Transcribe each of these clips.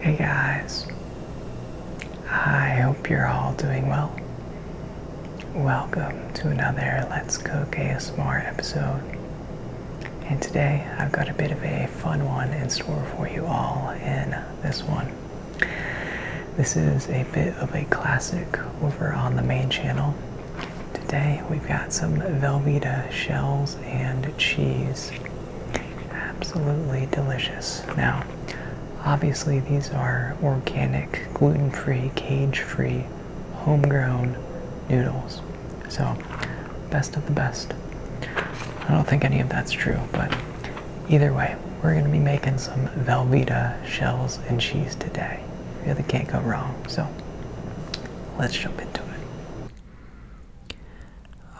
Hey guys, I hope you're all doing well. Welcome to another Let's Cook ASMR episode. And today I've got a bit of a fun one in store for you all in this one. This is a bit of a classic over on the main channel. Today we've got some velveta shells and cheese Absolutely delicious. Now, obviously, these are organic, gluten free, cage free, homegrown noodles. So, best of the best. I don't think any of that's true, but either way, we're going to be making some Velveeta shells and cheese today. Yeah, Really can't go wrong. So, let's jump into it.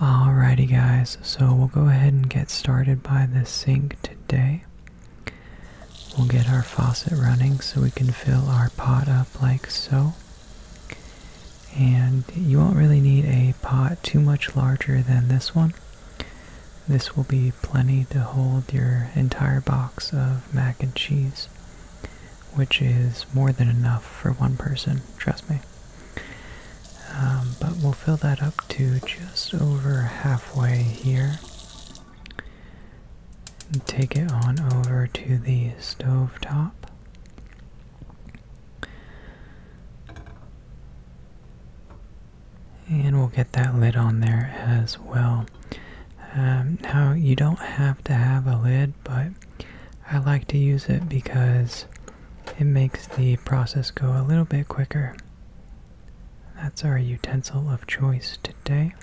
Alrighty, guys, so we'll go ahead and get started by the sink today. We'll get our faucet running so we can fill our pot up like so. And you won't really need a pot too much larger than this one. This will be plenty to hold your entire box of mac and cheese, which is more than enough for one person, trust me. Um, but we'll fill that up to just over halfway here. take it on over to the stove top. And we'll get that lid on there as well. Um, now, you don't have to have a lid, but I like to use it because it makes the process go a little bit quicker. That's our utensil of choice today.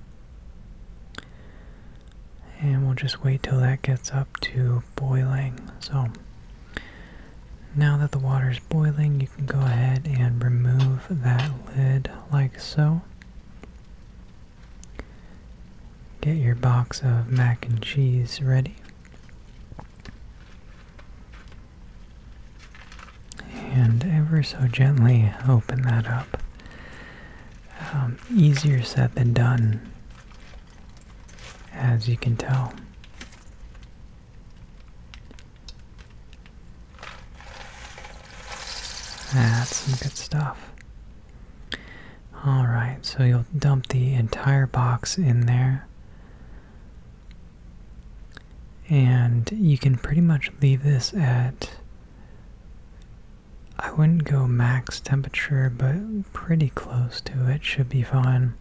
And we'll just wait till that gets up to boiling. So now that the water is boiling, you can go ahead and remove that lid like so get your box of mac and cheese ready. And ever so gently open that up. Um, easier said than done, as you can tell. That's some good stuff. Alright, so you'll dump the entire box in there. And you can pretty much leave this at, I wouldn't go max temperature, but pretty close to it should be fine.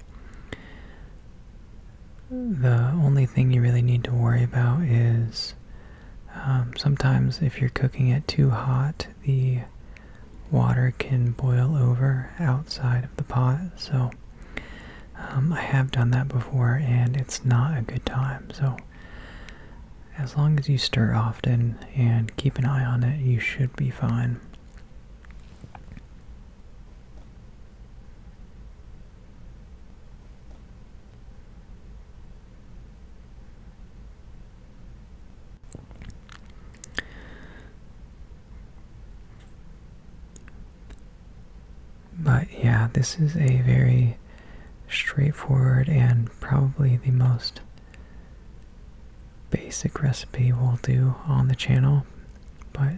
The only thing you really need to worry about is um, sometimes if you're cooking it too hot, the water can boil over outside of the pot. So um, I have done that before and it's not a good time. So as long as you stir often and keep an eye on it, you should be fine. But yeah, this is a very straightforward and probably the most basic recipe we'll do on the channel. But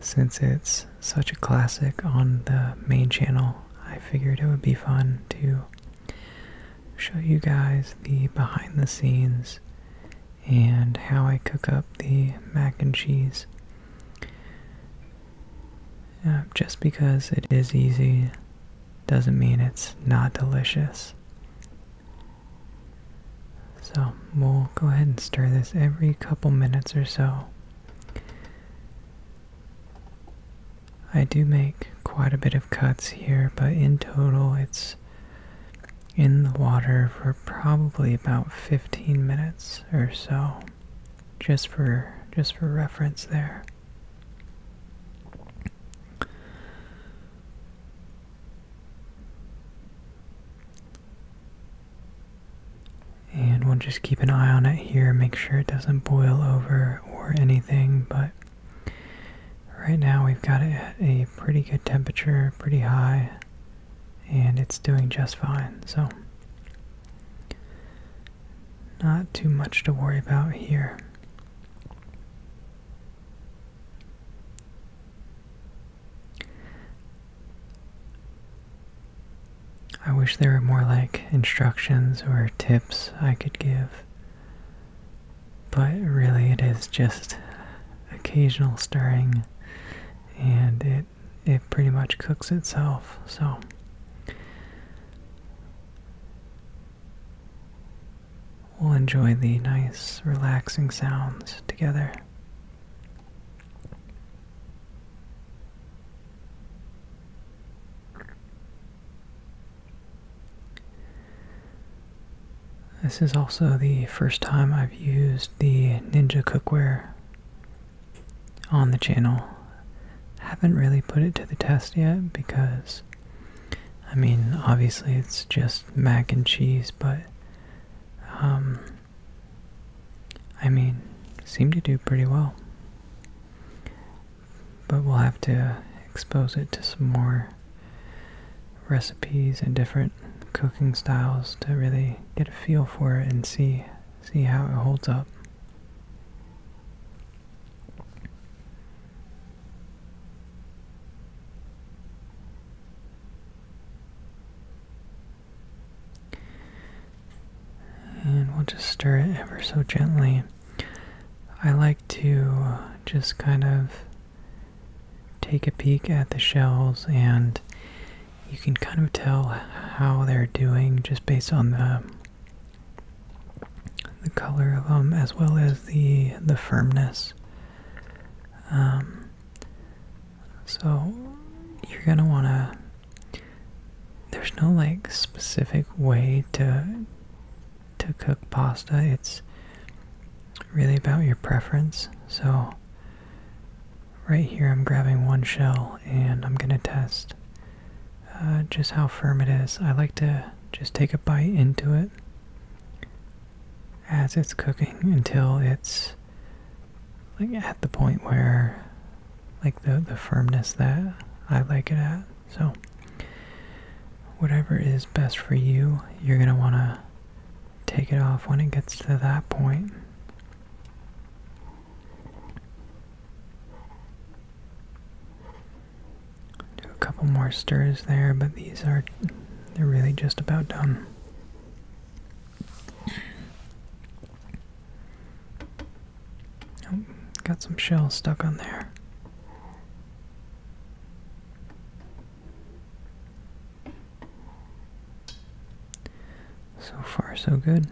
since it's such a classic on the main channel, I figured it would be fun to show you guys the behind the scenes and how I cook up the mac and cheese. Uh, just because it is easy doesn't mean it's not delicious. So we'll go ahead and stir this every couple minutes or so. I do make quite a bit of cuts here, but in total it's in the water for probably about 15 minutes or so. Just for just for reference there. And we'll just keep an eye on it here, make sure it doesn't boil over or anything, but Right now we've got it at a pretty good temperature, pretty high, and it's doing just fine. So, not too much to worry about here. I wish there were more like instructions or tips I could give but really, it is just occasional stirring, and it it pretty much cooks itself. So. We'll enjoy the nice, relaxing sounds together. This is also the first time I've used the Ninja cookware on the channel. I haven't really put it to the test yet because, I mean, obviously it's just mac and cheese, but, um, I mean, seemed to do pretty well but we'll have to expose it to some more recipes and different cooking styles to really get a feel for it and see see how it holds up. And we'll just stir it ever so gently. I like to just kind of take a peek at the shells and you can kind of tell how they're doing just based on the the color of them as well as the the firmness um, so you're gonna want to there's no like specific way to to cook pasta. It's really about your preference. So right here I'm grabbing one shell and I'm gonna test uh, just how firm it is. I like to just take a bite into it as it's cooking until it's like at the point where like the the firmness that I like it at. So whatever is best for you, you're gonna wanna take it off when it gets to that point. Do a couple more stirs there, but these are they're really just about done got some shells stuck on there. So far, so good.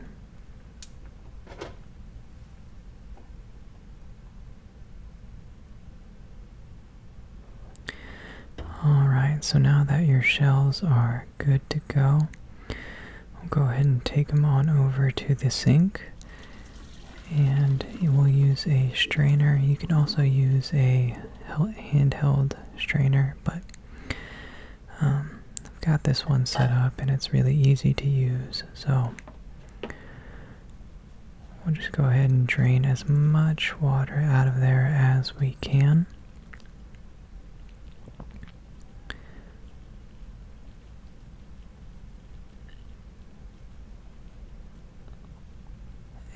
Alright, so now that your shells are good to go, We'll go ahead and take them on over to the sink. And we'll use a strainer. You can also use a handheld strainer, but um, I've got this one set up and it's really easy to use. So we'll just go ahead and drain as much water out of there as we can.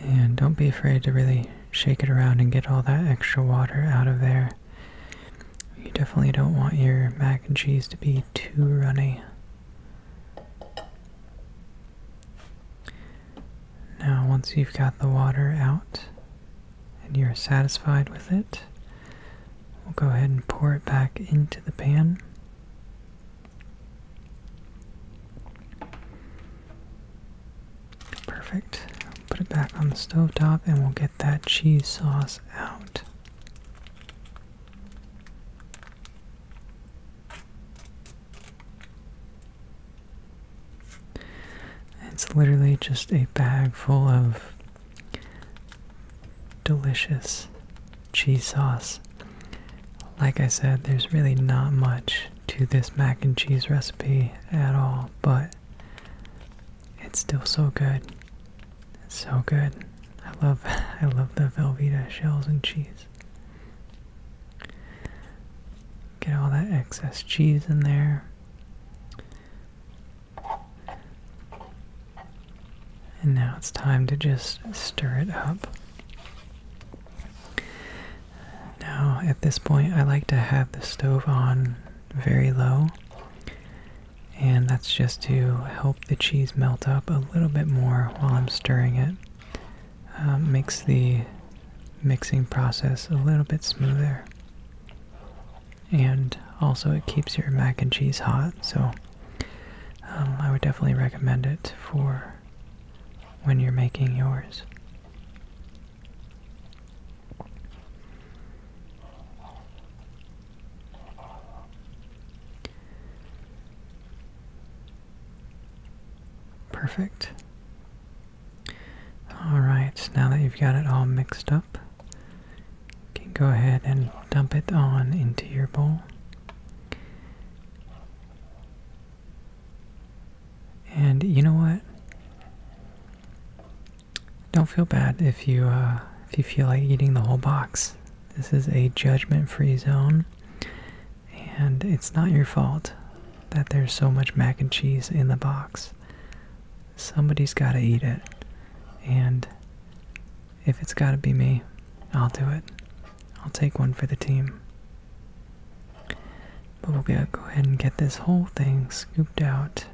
And don't be afraid to really shake it around and get all that extra water out of there. You definitely don't want your mac and cheese to be too runny. Now, once you've got the water out, and you're satisfied with it, we'll go ahead and pour it back into the pan. Perfect. Put it back on the stove top, and we'll get that cheese sauce out. It's literally just a bag full of delicious cheese sauce. Like I said, there's really not much to this mac and cheese recipe at all, but it's still so good. It's so good. I love I love the Velveeta shells and cheese. Get all that excess cheese in there. And now it's time to just stir it up. Now, at this point, I like to have the stove on very low, and that's just to help the cheese melt up a little bit more while I'm stirring it. Um, makes the mixing process a little bit smoother and also it keeps your mac and cheese hot so um, I would definitely recommend it for when you're making yours. Perfect. Alright, now that you've got it all mixed up, you can go ahead and dump it on into your bowl. And you know what? Don't feel bad if you uh, if you feel like eating the whole box. This is a judgment-free zone, and it's not your fault that there's so much mac and cheese in the box somebody's got to eat it. And if it's got to be me, I'll do it. I'll take one for the team. But we'll go ahead and get this whole thing scooped out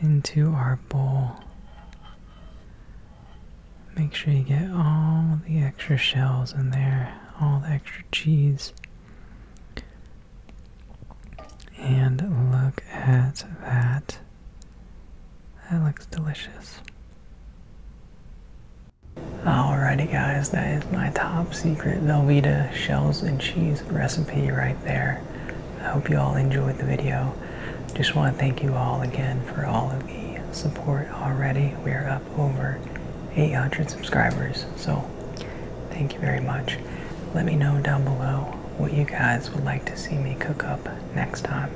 into our bowl. Make sure you get all the extra shells in there, all the extra cheese. And look at that. That looks delicious. Alrighty guys, that is my top secret Velveeta shells and cheese recipe right there. I hope you all enjoyed the video. Just want to thank you all again for all of the support already. We are up over 800 subscribers, so Thank you very much. Let me know down below what you guys would like to see me cook up next time.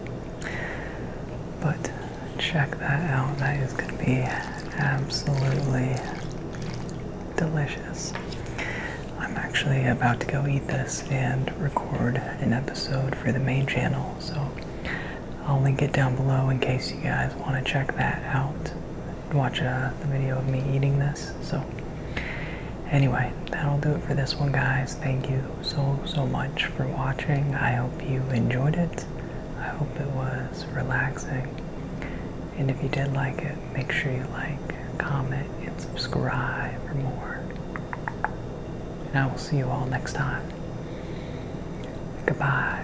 But check that out. That is going to be absolutely delicious. I'm actually about to go eat this and record an episode for the main channel, so I'll link it down below in case you guys want to check that out watch uh, the video of me eating this. So, anyway, that'll do it for this one, guys. Thank you so, so much for watching. I hope you enjoyed it. I hope it was relaxing. And if you did like it, make sure you like, comment, and subscribe for more. And I will see you all next time. Goodbye.